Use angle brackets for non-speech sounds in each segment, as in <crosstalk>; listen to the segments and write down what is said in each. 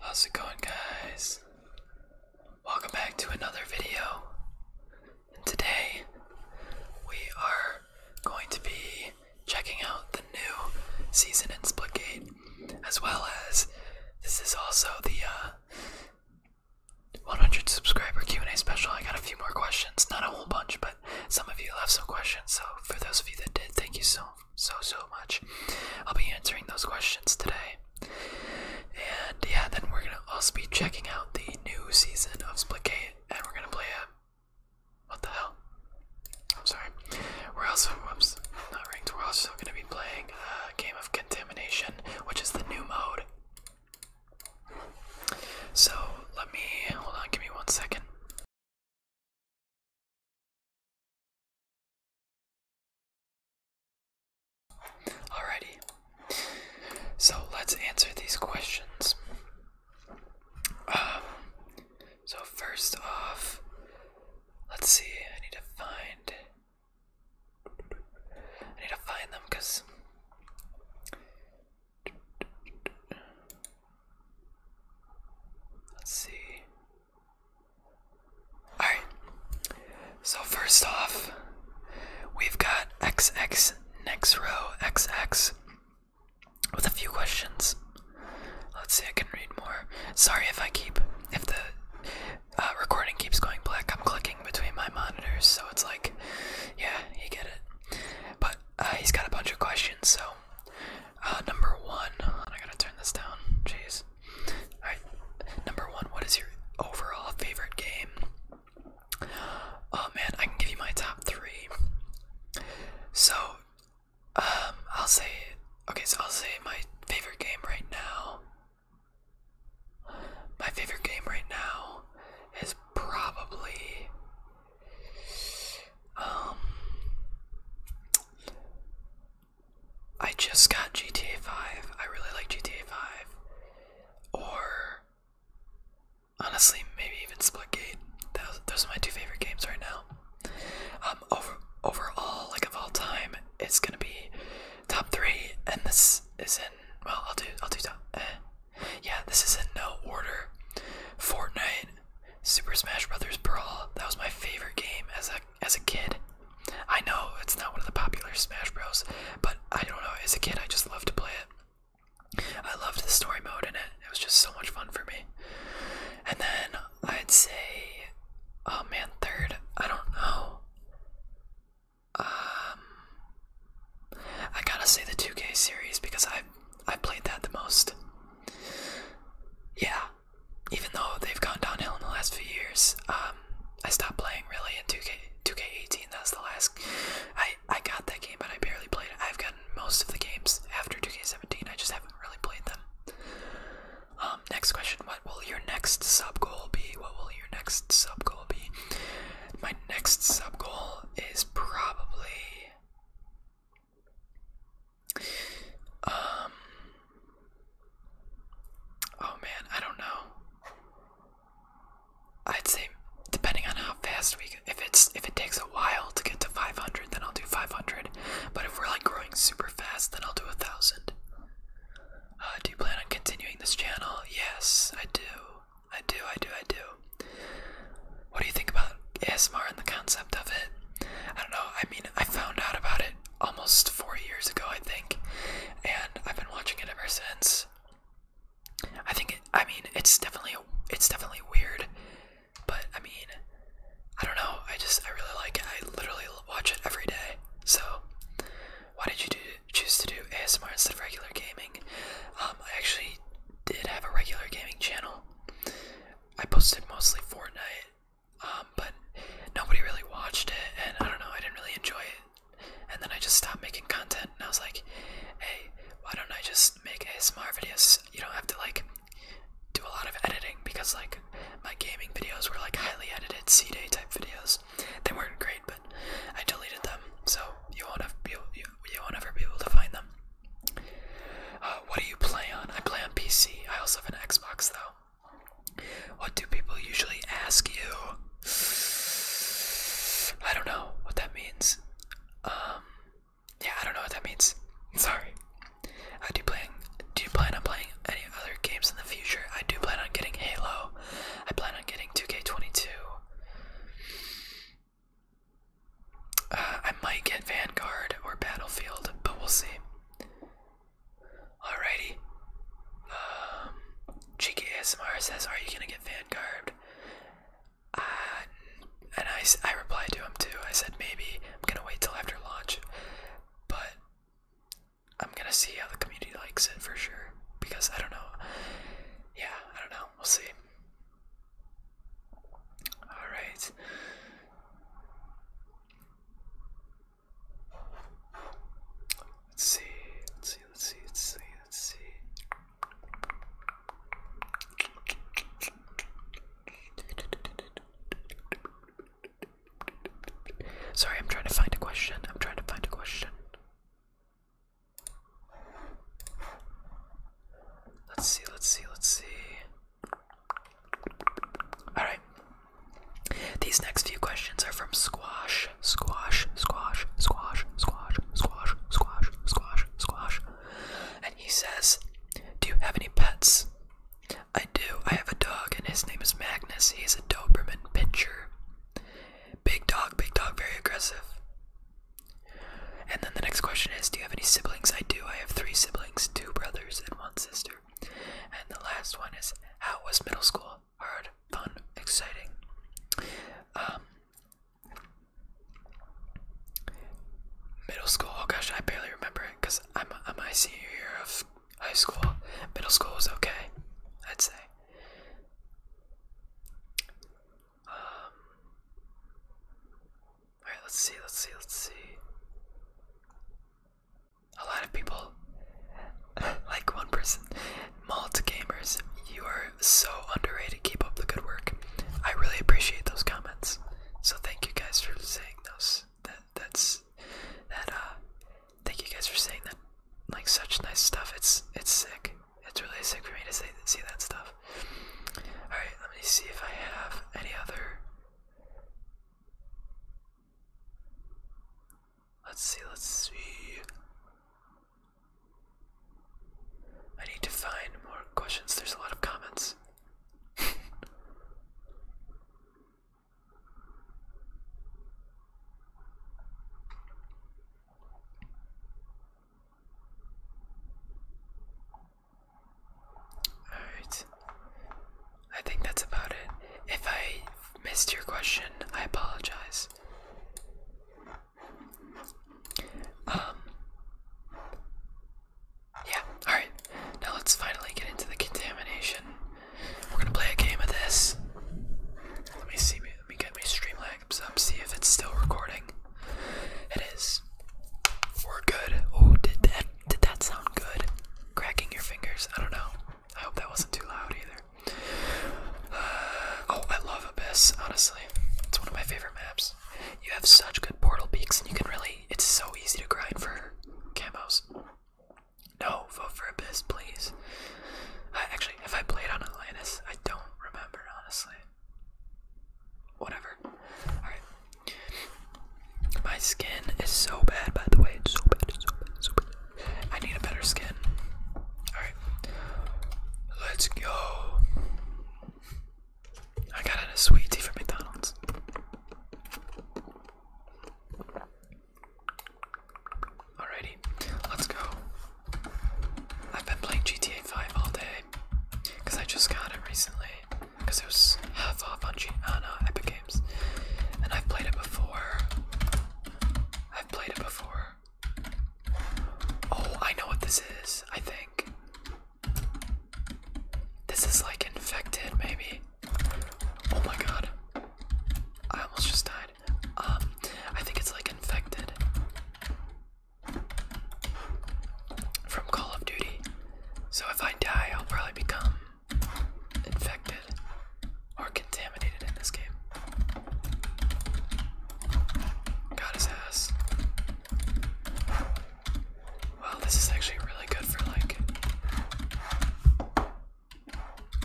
How's it going, guys? Welcome back to another video. And today, we are going to be checking out the new season in Split Splitgate, as well as this is also the uh, 100 subscriber Q&A special. I got a few more questions, not a whole bunch, but some of you left some questions. So for those of you that did, thank you so much so, so much. I'll be answering those questions today. And yeah, then we're gonna also be checking out the new season of Splitgate and we're gonna play it. What the hell? I'm sorry. We're also, whoops, not ranked. We're also gonna be playing a uh, game of contamination, which is the new mode. So let me, hold on, give me one second. Alrighty. So let's answer these questions. Um, so, first off, let's see, I need to find. I need to find them because. Let's see. Alright, so first off, we've got X X next row X X with a few questions. Let's see, I can read more. Sorry if I keep, if the uh, recording keeps going black, I'm clicking between my monitors, so it's like, yeah, you get it. But uh, he's got a bunch of questions, so uh, number one, I gotta turn this down. Jeez. Alright, number one, what is your overall favorite game? Oh man, I can give you my top three. So, um, I'll say, okay, so I'll say my favorite game right now. My favorite game right now is probably, um, I just got GTA 5. I really like GTA 5. Or, honestly, maybe even Splitgate. Those, those are my two favorite games right now. Um, over, overall, like of all time, it's gonna be top three, and this is in. Well, I'll do. I'll do top. Eh. Yeah, this is in no order. Fortnite Super Smash Bros. Brawl. That was my favorite game as a as a kid. I know it's not one of the popular Smash Bros, but I don't know. As a kid, I just loved to play it. I loved the story mode in it. It was just so much fun for me. And then I'd say, oh man, third. I don't know. Um, I gotta say the 2K series because I I played that the most. Yeah, even though they've gone downhill in the last few years, um, I stopped playing really in 2K, 2K18. That was the last. I I got that game, but I barely played it. I've gotten most of the games after 2K17. I just haven't really played them. Um, next question: What will your next sub goal be? What will your next sub goal be? My next sub goal is probably um. Oh man, I don't know. I'd say depending on how fast we, if it's if it takes a while to get to 500, then I'll do 500. But if we're like growing super fast, then I'll do a thousand. Uh, do you plan on continuing this channel? Yes, I do. I do. I do. I do. What do you think about ASMR and the concept of it? I don't know. I mean, I found out about it almost four years ago, I think, and I've been watching it ever since. I think, I mean, it's definitely it's definitely weird, but I mean, I don't know. I just I really like it. I literally watch it every day. So, why did you do, choose to do ASMR instead of regular gaming? Um, I actually did have a regular gaming channel. I posted mostly Fortnite um, but nobody really watched it, and I don't know, I didn't really enjoy it. And then I just stopped making content, and I was like, hey, why don't I just make ASMR videos? You don't have to, like, do a lot of editing because, like, my gaming videos were, like, highly edited C Day type videos. They weren't great, but I deleted them, so you won't, have, you, you, won't ever be able to find them. Uh, what do you play on? I play on PC. I also have an Xbox, though. What do people usually ask you? I don't know what that means. Um, yeah, I don't know what that means. <laughs> Sorry. I do playing. Do you plan on playing any other games in the future? I do plan on getting Halo. I plan on getting 2K22. Uh, I might get Vanguard or Battlefield, but we'll see. Alrighty. Um, Cheeky ASMR says, "Are you gonna get Vanguard?" garbed?" Uh, and I, I replied to him too. I said maybe I'm gonna wait till after launch, but I'm gonna see how the community likes it for sure. Because I don't know. Yeah, I don't know. We'll see. All right. Let's see, let's see, let's see, let's see, let's see. Sorry, I'm trying to find a question. I'm trying to find a question. Let's see, let's see, let's see. Alright. These next few questions are from Squash. Squash, squash, squash, squash, squash, squash, squash, squash. And he says, Do you have any pets? I do. I have a dog, and his name is Magnus. He's a Doberman pincher. Big dog, big dog, very aggressive. And then the next question is Do you have any siblings? I do. I have three siblings two brothers and one sister. And the last one is how was middle school? Hard, fun, exciting. Um, middle school. Oh gosh, I barely remember it because I'm I'm my senior of high school. Middle school was okay, I'd say. Um, all right, let's see, let's see, let's see a lot of people, <laughs> like one person, Malt Gamers, you are so underrated. Keep up the good work. I really appreciate those comments. So thank you guys for saying those. That that's that. Uh, thank you guys for saying that. Like such nice stuff. It's it's sick. It's really sick for me to see that stuff. All right, let me see if I have any other Let's see, let's see. I need to find more questions. There's a lot of comments. <laughs> Alright. I think that's about it. If I missed your question, I apologize. Um. Yeah, alright. Now let's finally get into the contamination. We're gonna play a game of this. Let me see, let me get my Streamlabs up, see if it's still recording. It is. We're good. Oh, did that, did that sound good? Cracking your fingers, I don't know. I hope that wasn't too loud either. Uh, oh, I love Abyss, honestly. It's one of my favorite maps. You have such good portal peaks, and you can really. It's so easy to grind for camos. No, vote for Abyss, please. actually, if I played on Atlantis, I don't remember, honestly. Whatever. Alright. My skin is so bad, by the way. It's so bad, it's so bad, it's so bad. I need a better skin. Alright. Let's go. I got a sweet tea from McDonald's. Alrighty, let's go. I've been playing GTA 5 all day because I just got it recently because it was half off on, G on uh, Epic and I've played it before. I've played it before. Oh, I know what this is, I think. This is like infected, maybe. Oh my god. I almost just died. Um, I think it's like infected. From Call of Duty. So if I die, I'll probably become infected or contaminated in this game. Got his ass. Wow, this is actually really good for like.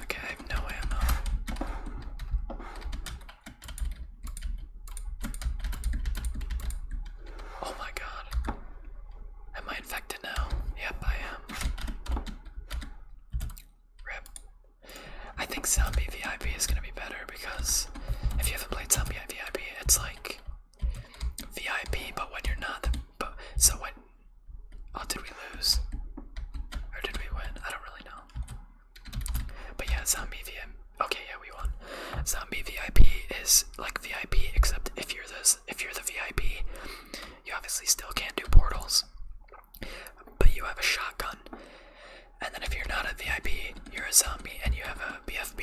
Okay, I have no ammo. Oh my god. Am I I infected now? Yep, I am. Rip. I think Zombie VIP is gonna be better because if you haven't played Zombie VIP, it's like VIP, but when you're not. but so what? Oh, did we lose? Or did we win? I don't really know. But yeah, Zombie VIP. Okay, yeah, we won. Zombie VIP is like VIP, except if you're this, if you're the VIP, you obviously still can't do portals, but you have a shotgun. And then if you're not a VIP, you're a zombie and you have a BFB.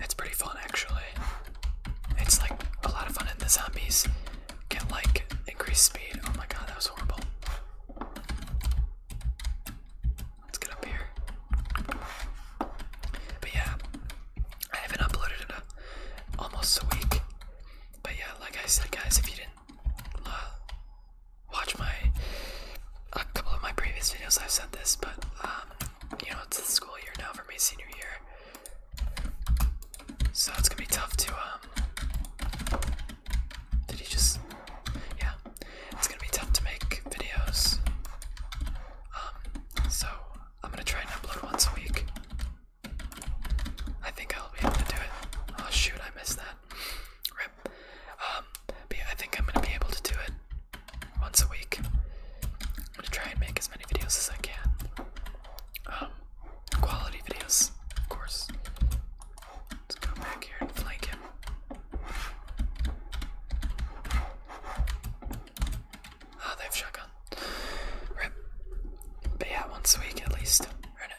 It's pretty fun actually. It's like a lot of fun and the zombies can like increase speed. Oh my god, that was horrible. Let's get up here. But yeah, I haven't uploaded in almost a week. But yeah, like I said, guys, if you didn't uh, watch my a couple of my previous videos, I've said this, but um, you know, it's the school year now for my senior year, so it's gonna be tough to um. Did he just? Yeah, it's gonna be tough to make videos. Um, so I'm gonna try and upload once a week. I think I'll be able to do it. Oh shoot, I missed that. Rip. Um, yeah, I think I'm gonna be able to do it once a week. I'm gonna try and make as many videos as I can. Um, quality videos, of course. Let's go back here and flank him. Oh, they have shotgun. Rip. But yeah, once a week at least.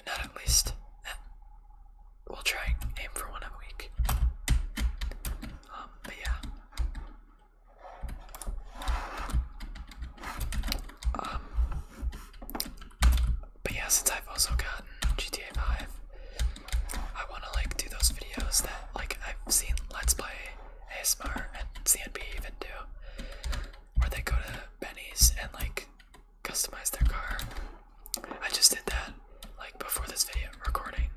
not at least. Eh. We'll try aim for one a week. Um, but yeah. Um, but yeah, since I've also gotten GTA 5, I want to like do those videos that like I've seen Let's Play ASMR and CNB even do, where they go to Benny's and like customize their car. I just did that like before this video recording.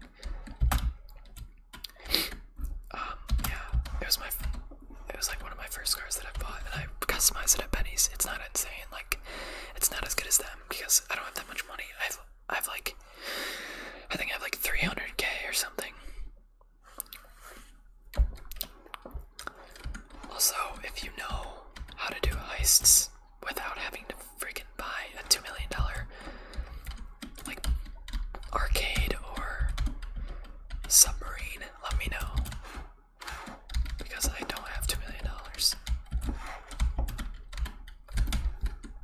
Um, yeah, it was my, it was like one of my first cars that I bought, and I customized it at Benny's. It's not insane, like it's not as good as them because I don't have that much money. I've, I've like, I think I have like 300k or something. Also, if you know how to do heists without having to freaking buy a $2 million like arcade or submarine, let me know. Because I don't have $2 million.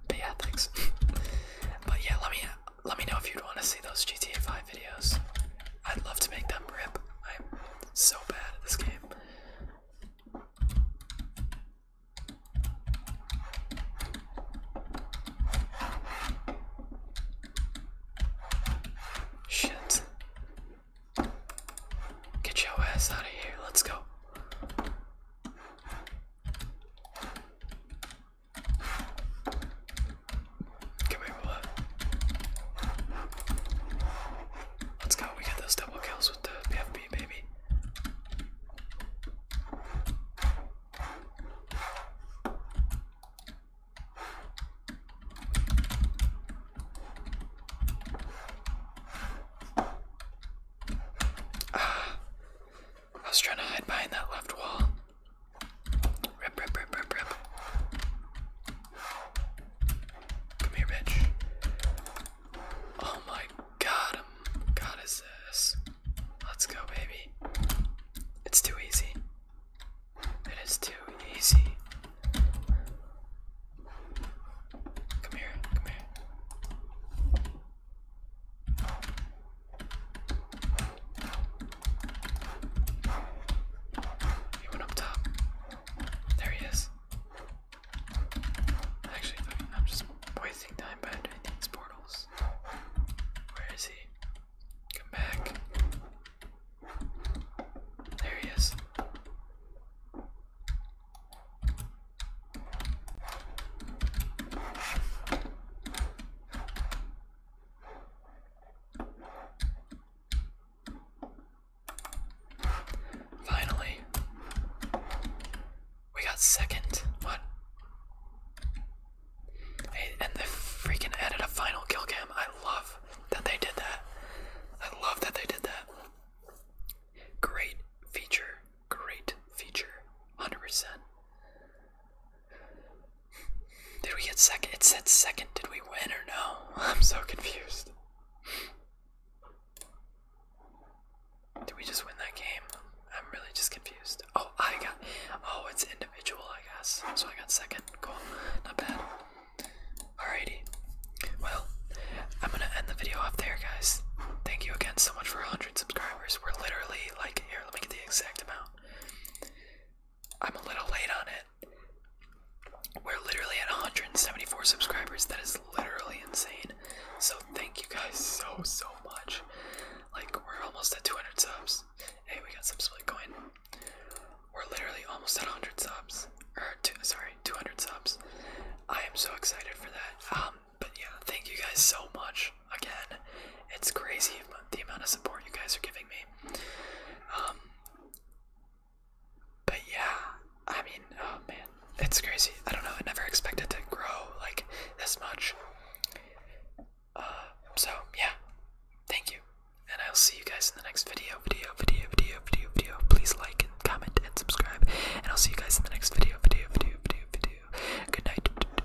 But yeah, <laughs> but yeah, let me let me know if you'd want to see those GTA 5 videos. I'd love to make them rip. I'm so bad at this game. Shit. Get your ass out of here. Let's go. Come here, Willa. Let's go. We get those double kills with the PFP, baby. Ah. I was trying to hide behind that left wall. Come here, bitch. Oh my god, um, god is this. Let's go, baby. It's too easy. It is too easy. Come here, come here. He went up top. There he is. Actually, I mean, I'm just wasting time by doing these portals. Where is he? Come back. There he is. Finally. We got second. What? and they freaking added a final kill I love that they did that. I love that they did that. Great feature. Great feature. 100%. Did we get second? It said second. Did we win or no? <laughs> I'm so confused. Did we just win that game? I'm really just confused. Oh, I got. Oh, it's individual, I guess. So I got second. Cool. Not bad. Alrighty. Well, I'm gonna end the video off there, guys. Thank you again so much for 100 subscribers. We're literally like here. Let me get the exact amount. I'm a little late on it. We're literally at 174 subscribers. That is literally insane. So thank you guys so so much. Like we're almost at 200 subs. Hey, we got some split coin. We're literally almost at 100 subs. Or sorry, 200 subs. I am so excited for that. Um, but yeah, thank you guys so much again. It's crazy the amount of support you guys are giving me game. Um, but yeah, I mean, oh man, it's crazy. I don't know. I never expected to grow like this much. Uh, so yeah, thank you, and I'll see you guys in the next video. Video, video, video, video, video. Please like and comment and subscribe, and I'll see you guys in the next video. Video, video, video, video. Good night.